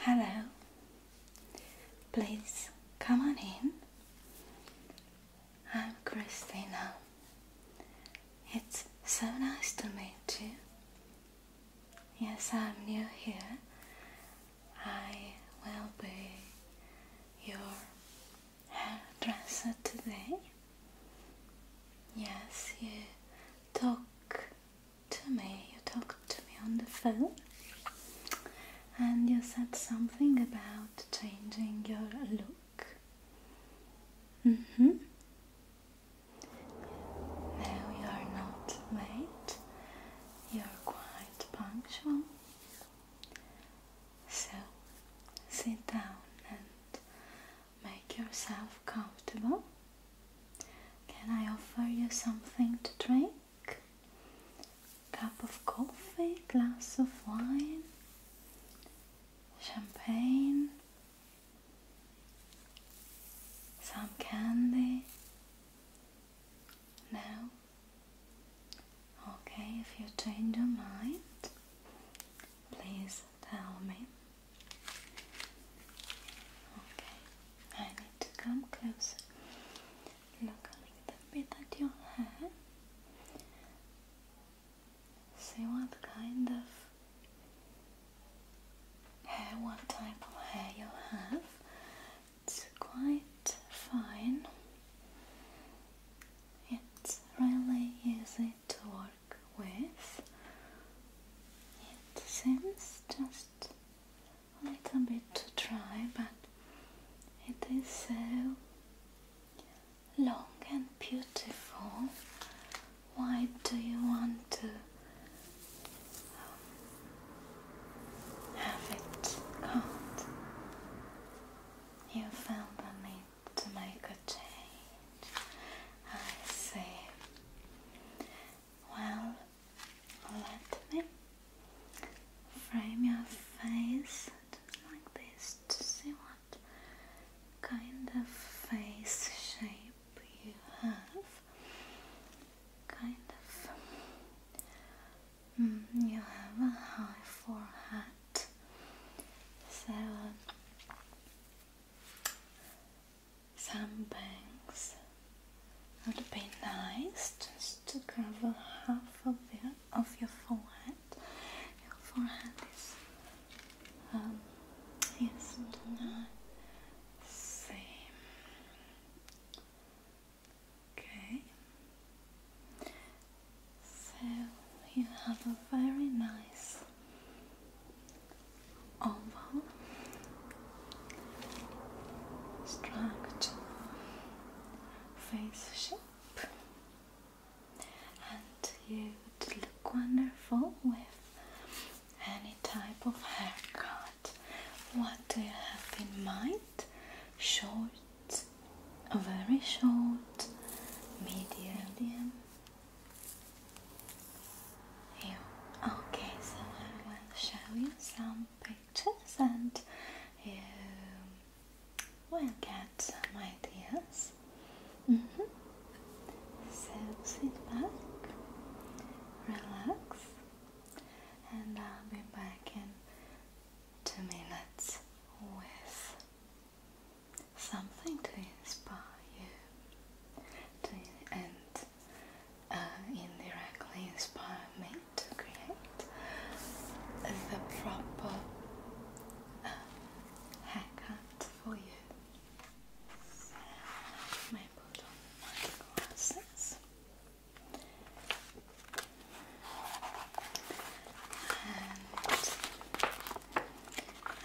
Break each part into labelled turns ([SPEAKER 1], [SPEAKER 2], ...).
[SPEAKER 1] Hello. Please come on in. I'm Christina. It's so nice to meet you. Yes, I'm new here. I will be your hairdresser today. Yes, you talk to me, you talked to me on the phone and you said something about changing your look. Mm hmm. No, you are not late, you are quite punctual. So sit down and make yourself comfortable. Can I offer you something to drink? Cup of coffee, glass of wine, champagne, some candy? No? Okay, if you change your mind, please tell me. Okay. I need to come closer. Look a little bit at your hair. See what kind of hair, what type of hair you have. It's quite fine. It's really easy to work with. It seems just a little bit too dry, but it is so long and beautiful. Why do you want to um, have it out? You felt the need to make a change. I see. Well, let me frame your face just like this to see what kind of face shape you have. Kind of. Mm, you have a high forehead, so some bangs would be nice just to cover half of, the, of your forehead. Your forehead is um, yes, not same. Okay, so you have a very nice oval structure, face shape, and you would look wonderful with any type of haircut. What do you have in mind? Short, very short, medium you. Okay, so I will show you some pictures and you will get some ideas. Mm-hmm. So sit back, relax, and I'll be back in two minutes with something to inspire you and uh, indirectly inspire me to create the proper um, haircut for you. my glasses. And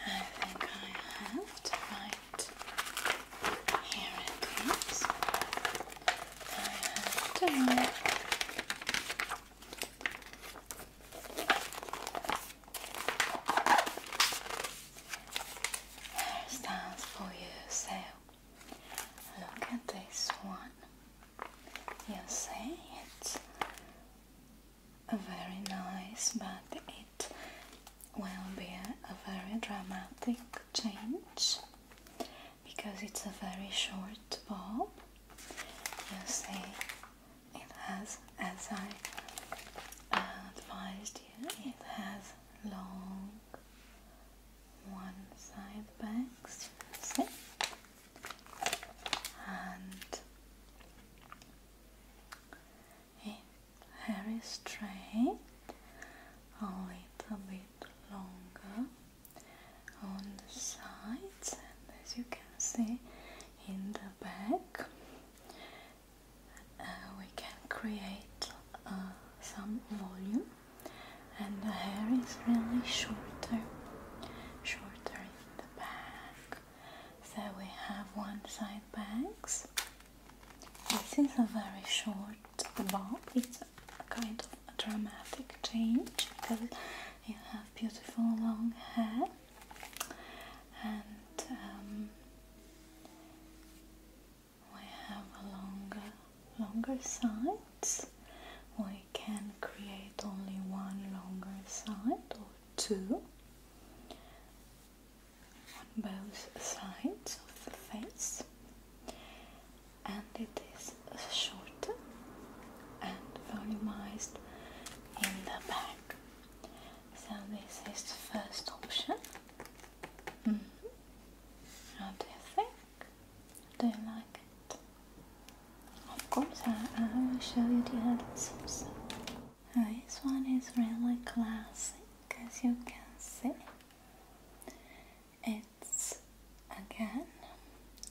[SPEAKER 1] I think I have to right. Here it comes. there stands for your sale. Look at this one. You see, it's a very nice, but it will be a, very dramatic change because it's a very short bulb. You see, it has, as I uh, advised you, it has long one side bags, And in very straight, a little bit longer on the sides, and as you can see in the back, uh, we can create uh, some volume, and the hair is really shorter, shorter in the back. So we have one side bangs. This is a very short bob. It's a kind of a dramatic change because you have beautiful long hair and um, we have a longer, longer sides. We can create only one longer side or two on both sides of the face and it is shorter and volumized in the back. So this is the first option. Mm How do you think? Do you like it? Of course I, will show you the other also. This one is really classic, as you can see. It's again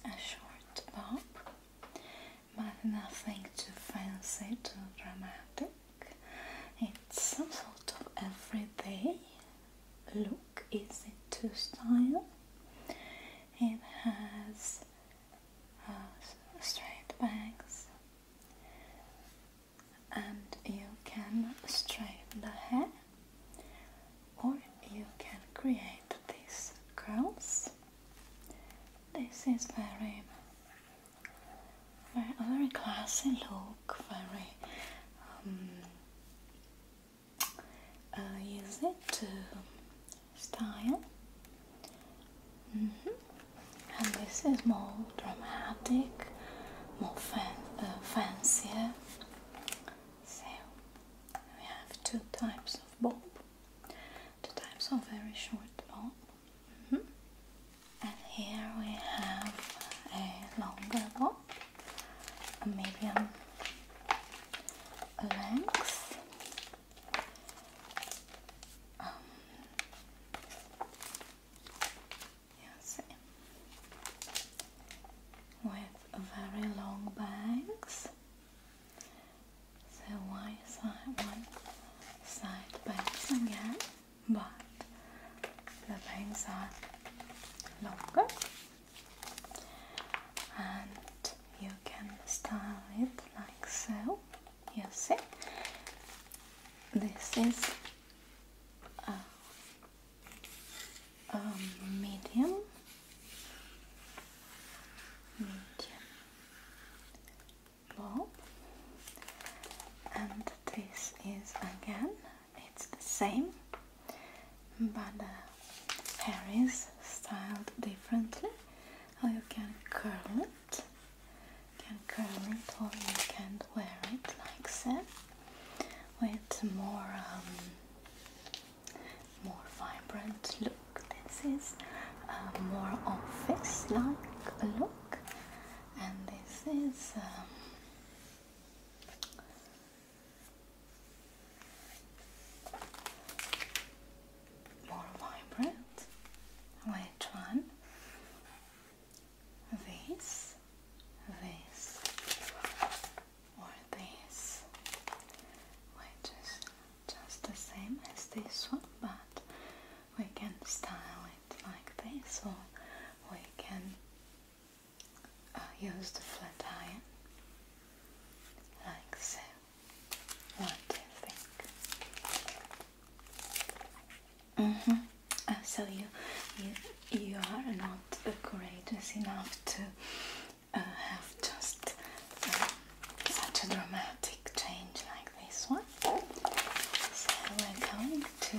[SPEAKER 1] a short bob, but nothing too fancy, too dramatic. It's some sort of everyday look, easy to style. It has uh, straight bangs, and you can straighten the hair or you can create these curls. This is very, very, very classy look, very use um, uh, it to style. Mm-hmm and this is more dramatic, more fan uh, fancier. So we have two types of bob, The types of very short bob, mm-hmm. and here we have a longer bob, a medium length. Um, Yes. With very long bangs. So one side, one side bangs again, but the bangs are longer, and you can style it like so you see this is a, medium medium bulb and this is again it's the same but the hair is styled differently or you can curl it can curl it or you can wear it like this with more um, more vibrant look. This is a more office-like look and this is um, more vibrant. Which one? this, this, or this, which is just the same as this one, but we can style it like this, or we can uh, use the flat iron like so. What do you think? Mm -hmm. so you, you you are not courageous enough to uh, have just uh, such a dramatic change like this one. So we're going to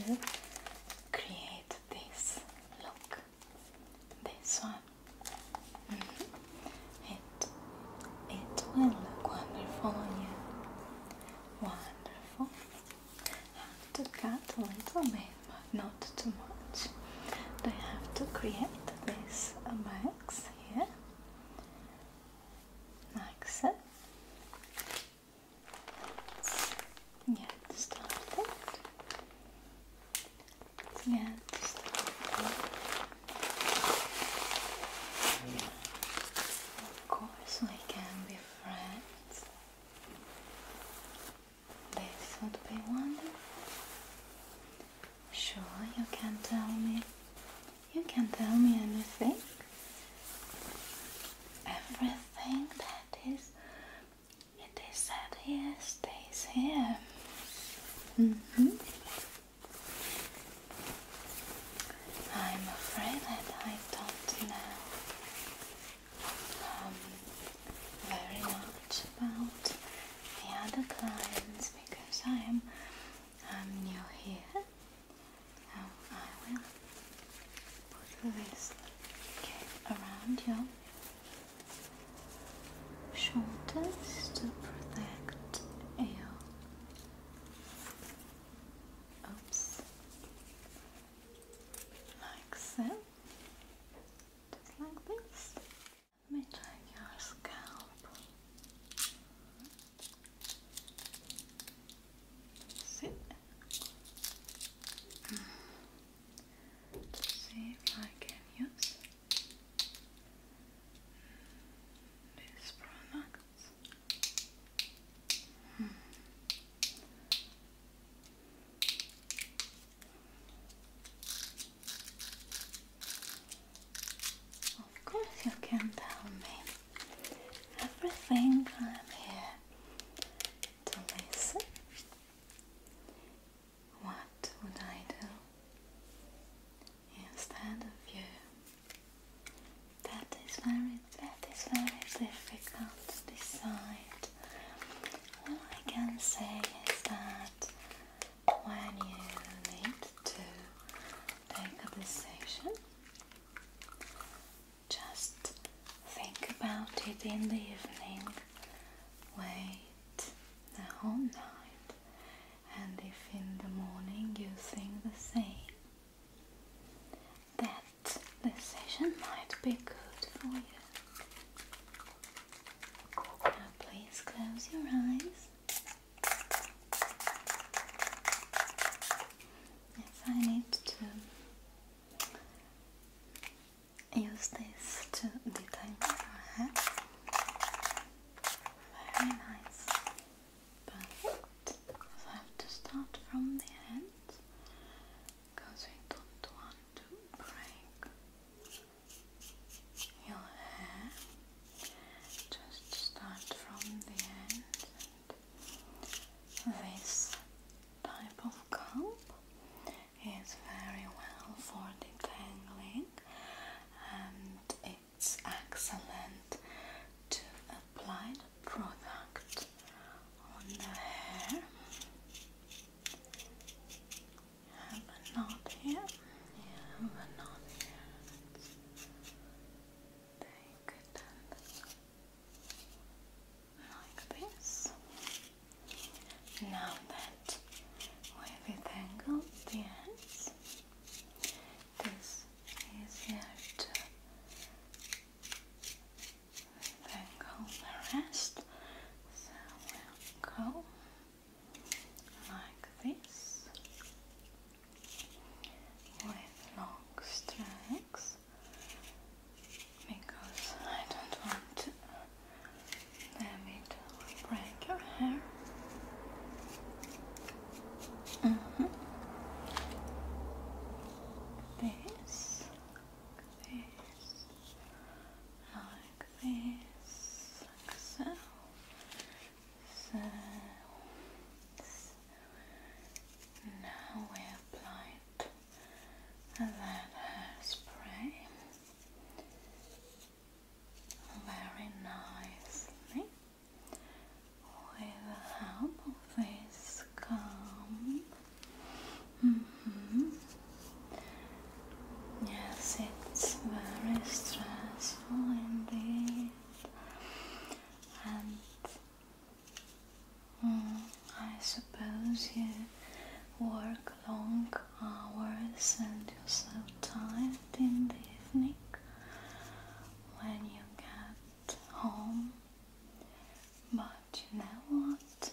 [SPEAKER 1] create this look. This one. Mm-hmm. It it will look wonderful on Wonderful careful have to cut a little bit but not too much they have to create this box here like so Let's of course we can be friends. This would be wonderful. Sure, you can tell me. You can tell me anything. Everything that is it is said here stays here. Mm -hmm. I'm afraid that I don't know um, very much about the other clients because I am um, new here. I will put this around your shoulders to protect you oops, like so, just like this. Let your scalp. See? see if I can use this product. Of course, you can tell me everything. I'm here to listen. What would I do instead of you? That is very, that is very difficult to decide. All I can say is that when you need to take a decision, just think about it in the evening. Wait the whole night, and if in the morning you think the same, that this session might be good for you. please close your eyes. Yes, I need to use this to detangle your head. Very nice. Perfect. So I have to start from the end because we don't want to break your hair. Just start from the end this type of comb is very well for detangling and it it's excellent to apply the product on the hair. Have a knot here. have a knot here. like this. Now that we've entangled the ends, this easier to bangle the rest. So we'll go like this with long strokes because I don't want to them it break your hair. Mm -hmm. This, this, like this, like so, so. Now we applied that hairspray very nicely with the this comb. Mm -hmm. Yes, it's very stressful indeed, and mm, I suppose you work long hours and you're so tired in the evening when you get home. But you know what?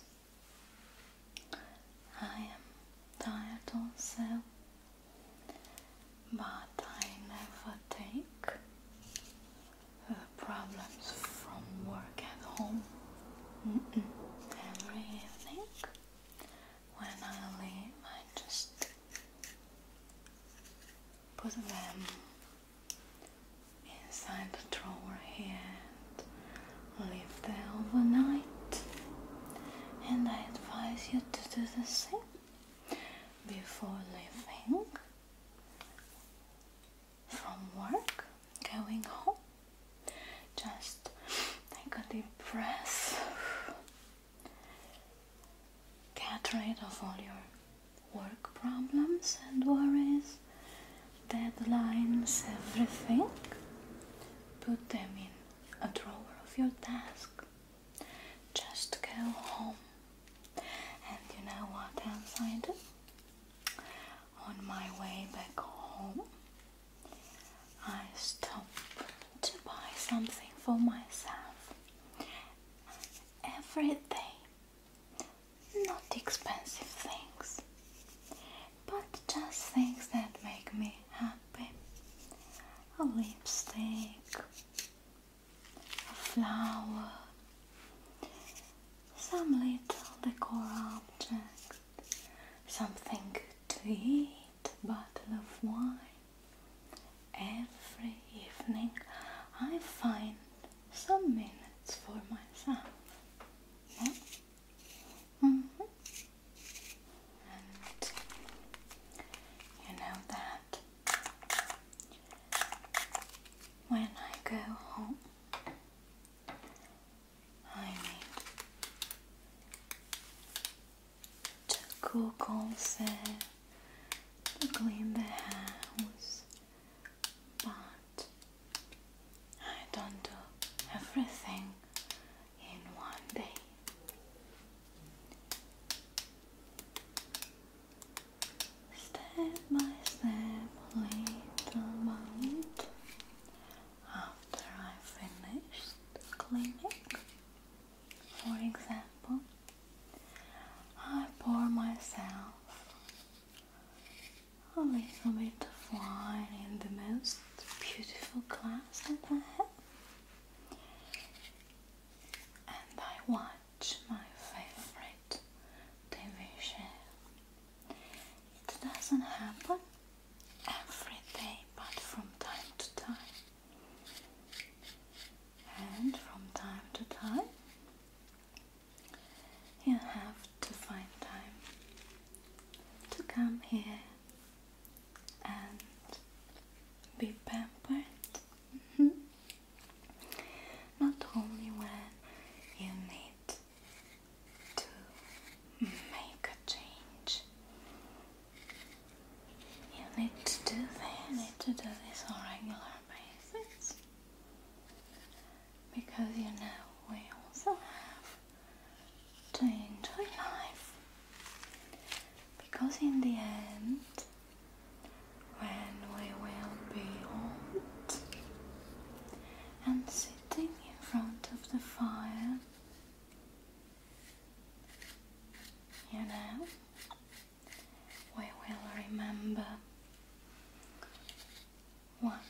[SPEAKER 1] I am tired also, but I never take the problems from work at home. Every evening when I leave, I just put them inside the drawer here and leave them overnight. And I advise you to do the same before leaving from work, going home. Just take a deep breath Get rid of all your work problems and worries, deadlines, everything. Put them in a drawer of your desk. Just go home. And you know what else On my way back home, I stop to buy something for myself everyday, not expensive things, but just things that make me happy. A lipstick, a flower, some little decor object, something good to eat, a bottle of wine. Every evening I find some minutes for myself. Mm-hmm. And you know that when I go home, I mean, to cook set to clean the house, but I don't do everything in one day. Step by step, little by little, after I finished cleaning, for example, I pour myself a little bit of wine in the most beautiful glass that I have, and I watch my favorite TV It doesn't happen every day, but from time to time and from time to time you have to find time to come here and be pampered mm -hmm. not only when you need to make a change you need to do that. You need to do this on regular basis because you know we also have to enjoy life. Because in the end, when we will be old and sitting in front of the fire, you know, we will remember what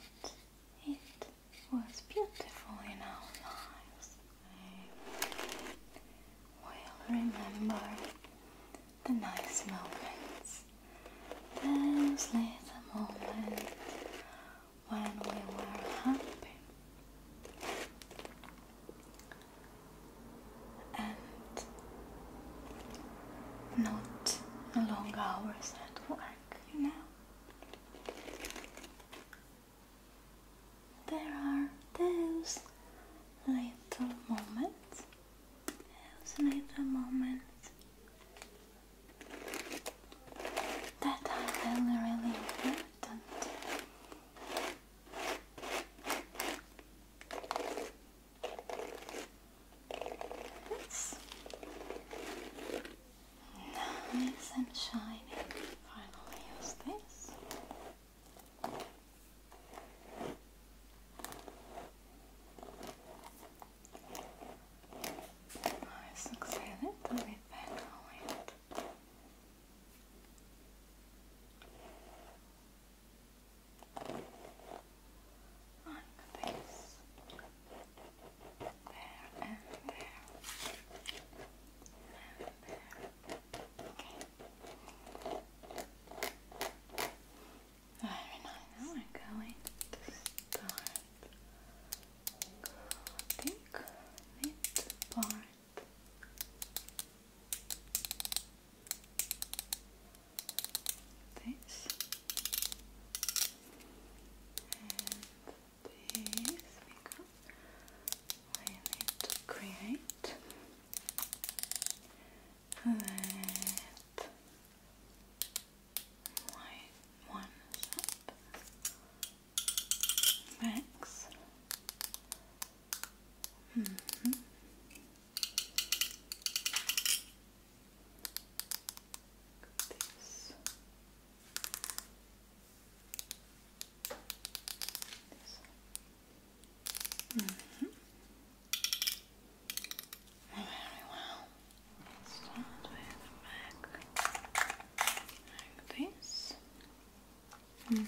[SPEAKER 1] it was beautiful in our lives. We'll remember the nice moments, those little moments when we were happy and not long hours at work, you know. There are those little moments, those little moments that are really, really important it's nice and shiny. Finally, use this. I succeeded with background. Like this. There and there. And there. Okay. Very nice. Now we're going to start cutting it apart. This and this because I need to create that my one up Max. Mm -hmm. This. This. -hmm. Mm-hmm. Very well. start with the like this. Mm -hmm.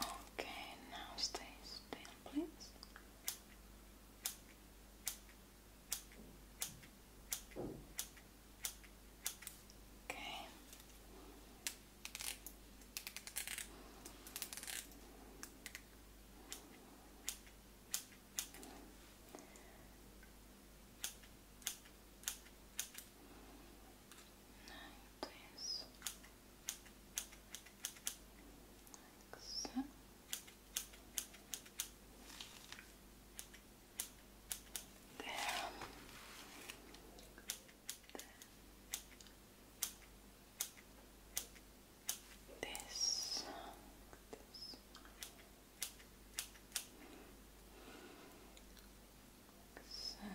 [SPEAKER 1] Okay, now stay still, please. Okay. Like this. There. There. This. This. So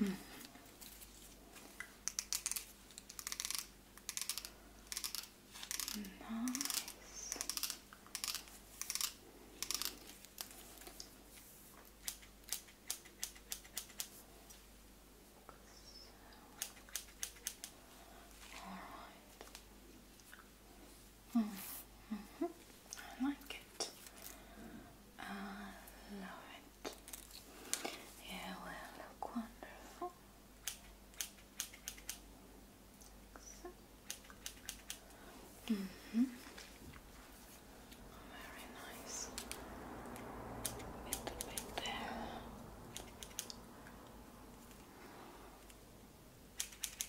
[SPEAKER 1] this. Mm. Nice. All right. Mm -hmm. I like it. I love it. Yeah, well, look wonderful. -hmm. Very nice. Little bit there.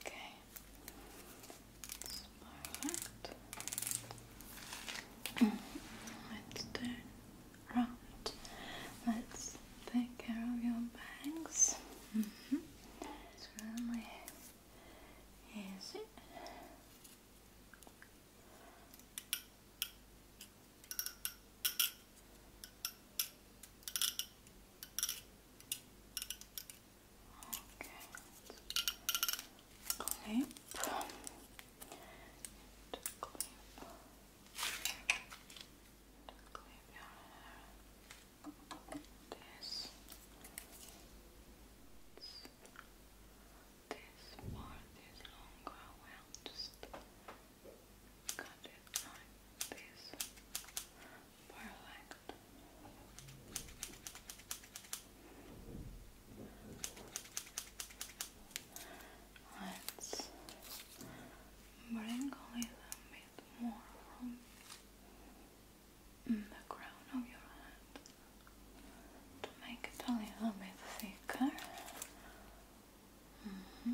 [SPEAKER 1] Okay. Smaragd. Let's turn round. Let's take care of your bags. Mm-hmm. It's really easy. Okay. Clip. clip. Clip your hair. This. This part is longer. Well, just cut it like this. Perfect. Let's bring a little bit more from the crown of your head to make it a little bit thicker. Mm-hmm.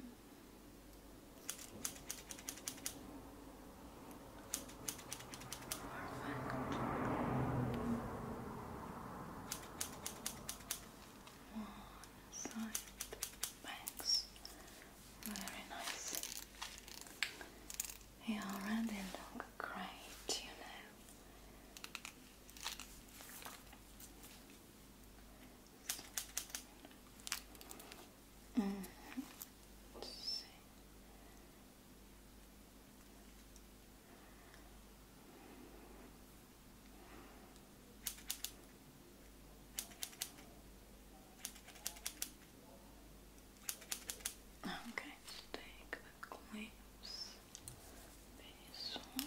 [SPEAKER 1] Perfect. Very nice. You already look great, you know. Let's see. I'm take the clips, this one.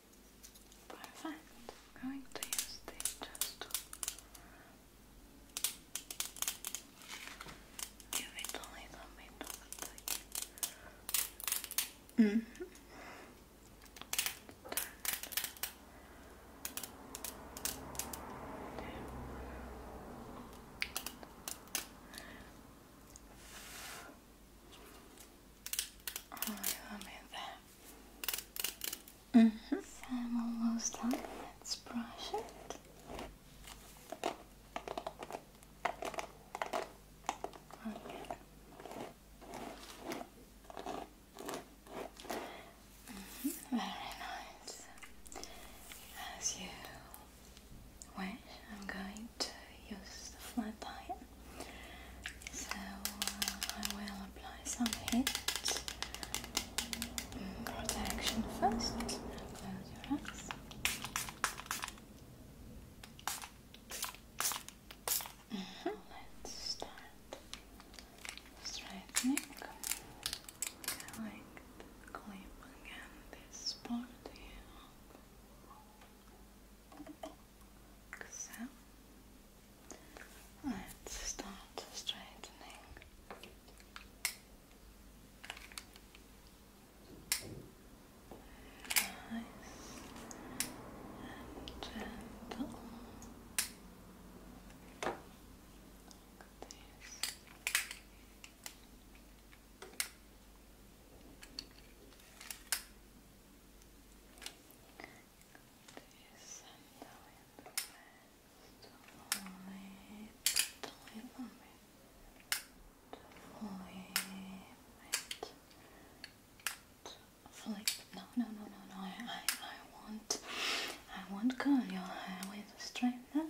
[SPEAKER 1] I'm going to use this to give it a little bit of Mm -hmm. All right, let me I'm almost done. Let's brush it. Okay. Mm-hmm. Very nice. As you wish, I'm going to use the flat iron so uh, I will apply some heat mm, protection first. close your eyes. Mm-hmm, let's start straightening. Collect the clip again this part here so let's start straightening. Nice and gentle. Like this flip No, no, no, no, no. I, I, I want, I want curl your hair with a straightener,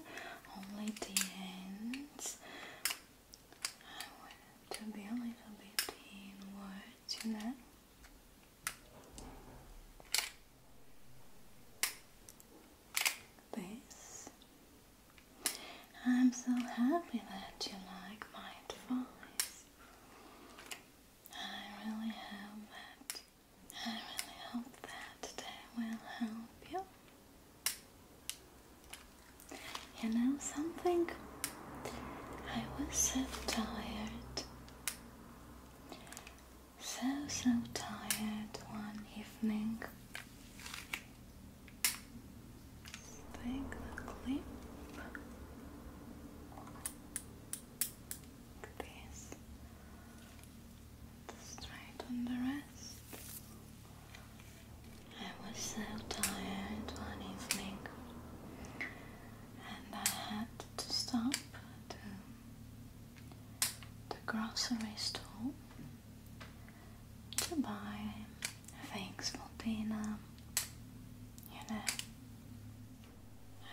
[SPEAKER 1] only the ends. I want to be a little bit inwards, This. I'm so happy that you like my advice. I really hope that I really hope that they will help you. You know something? I was so tired. So, so tired one evening. Take the clip like this, straight on the rest. I was so tired one evening and I had to stop at the, grocery store to buy things for dinner, you know.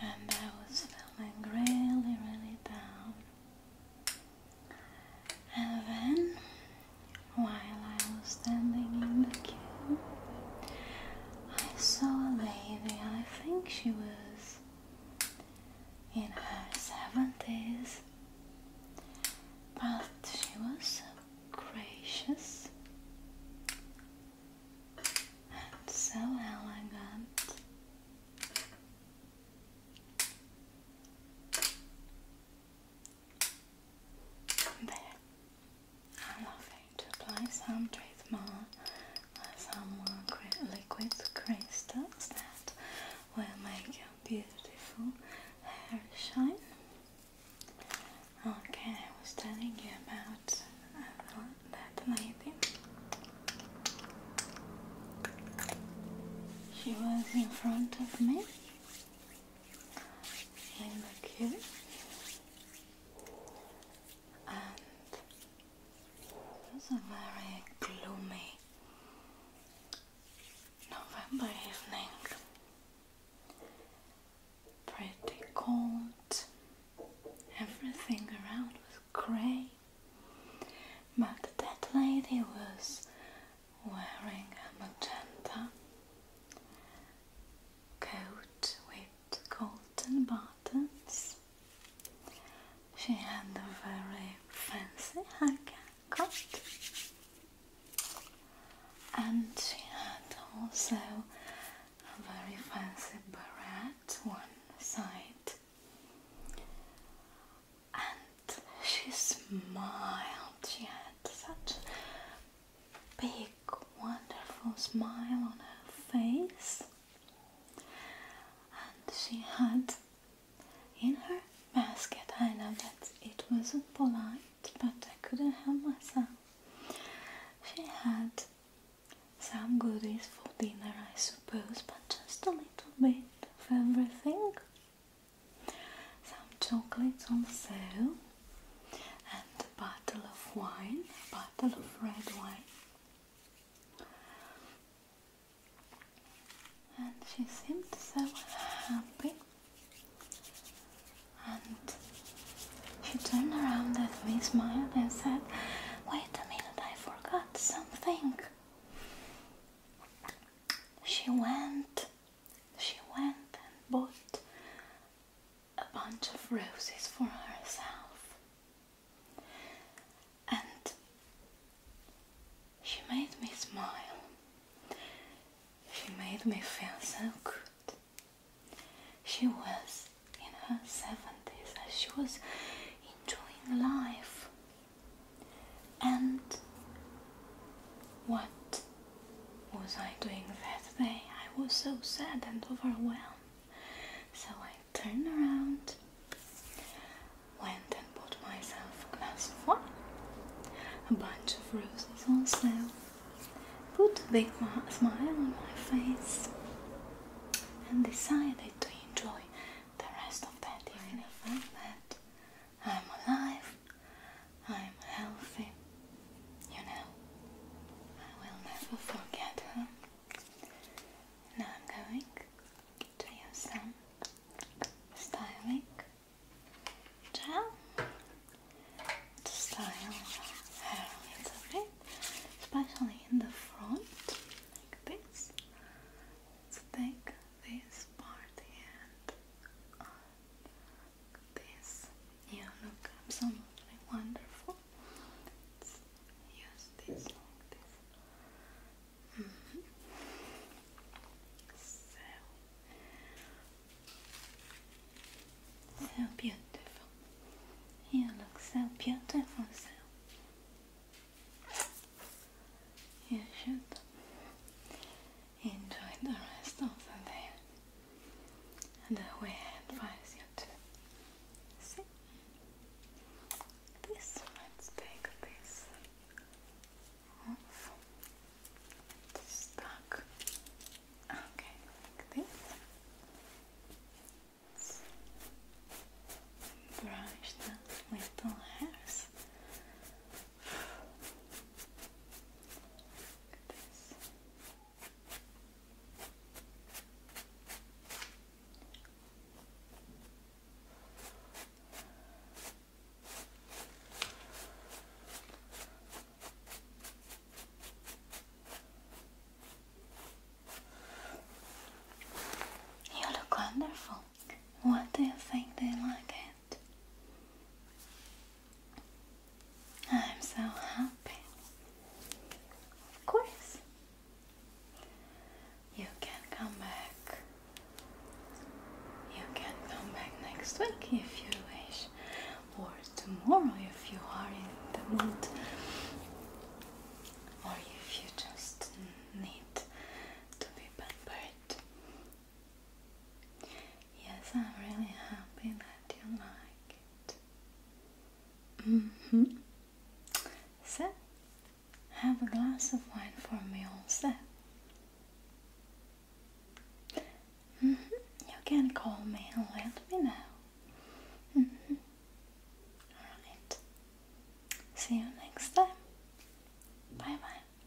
[SPEAKER 1] And I was feeling really, really down. And then while I was standing in the queue, I saw a lady, I think she was in her 70s, but she was so gracious and so elegant. There. I'm to apply some treatment, uh, some liquid crystals that will make your beautiful hair shine. Okay, I was telling you about that lady. She was in front of me in the queue and it's a very gloomy November evening pretty cold everything around was grey but that lady was wearing a magenta coat with golden buttons. She had a very fancy haircut and she had also a very fancy beret one side and she smiled. She had such big, wonderful smile on her face, and she had in her basket. I know that it wasn't polite, but I couldn't help myself. She had some goodies for dinner, I suppose, but just a little bit of everything some chocolates on sale, and a bottle of wine, a bottle of red wine. And she seemed so happy. And she turned around at me, smiled, and said, Wait a minute, I forgot something. She went she went and bought a bunch of roses for herself. And she made me smile. She made me feel so good. She was in her 70s and she was enjoying life. And what was I doing that day? I was so sad and overwhelmed. So I turned around, went and bought myself a glass of wine, a bunch of roses on sale, put a big smile on my face, and decided to enjoy the rest of that evening. I that I'm alive, I'm healthy. You know, I will never forget her. Now I'm going to use some gel to style her hair a bit, especially in the front, like this. take this part and this. Yeah, look, absolutely wonderful. Let's use this like this. Mm-hmm. So, so beautiful. You look so beautiful, so. You should enjoy the rest of the day. And I will advise you to see this. Let's take this off. stuck. Okay, this. brush the little hairs. You look wonderful. What do you think? they like it? I'm so happy. Of course. You can come back. You can come back next week if you wish, or tomorrow if you are in the mood, or if you just need to be pampered. Yes, I'm really happy that you like it. Mm So, have a glass of wine for me also. Mm You can call me and let me know. Mm-hmm. Alright. See you next time. Bye bye.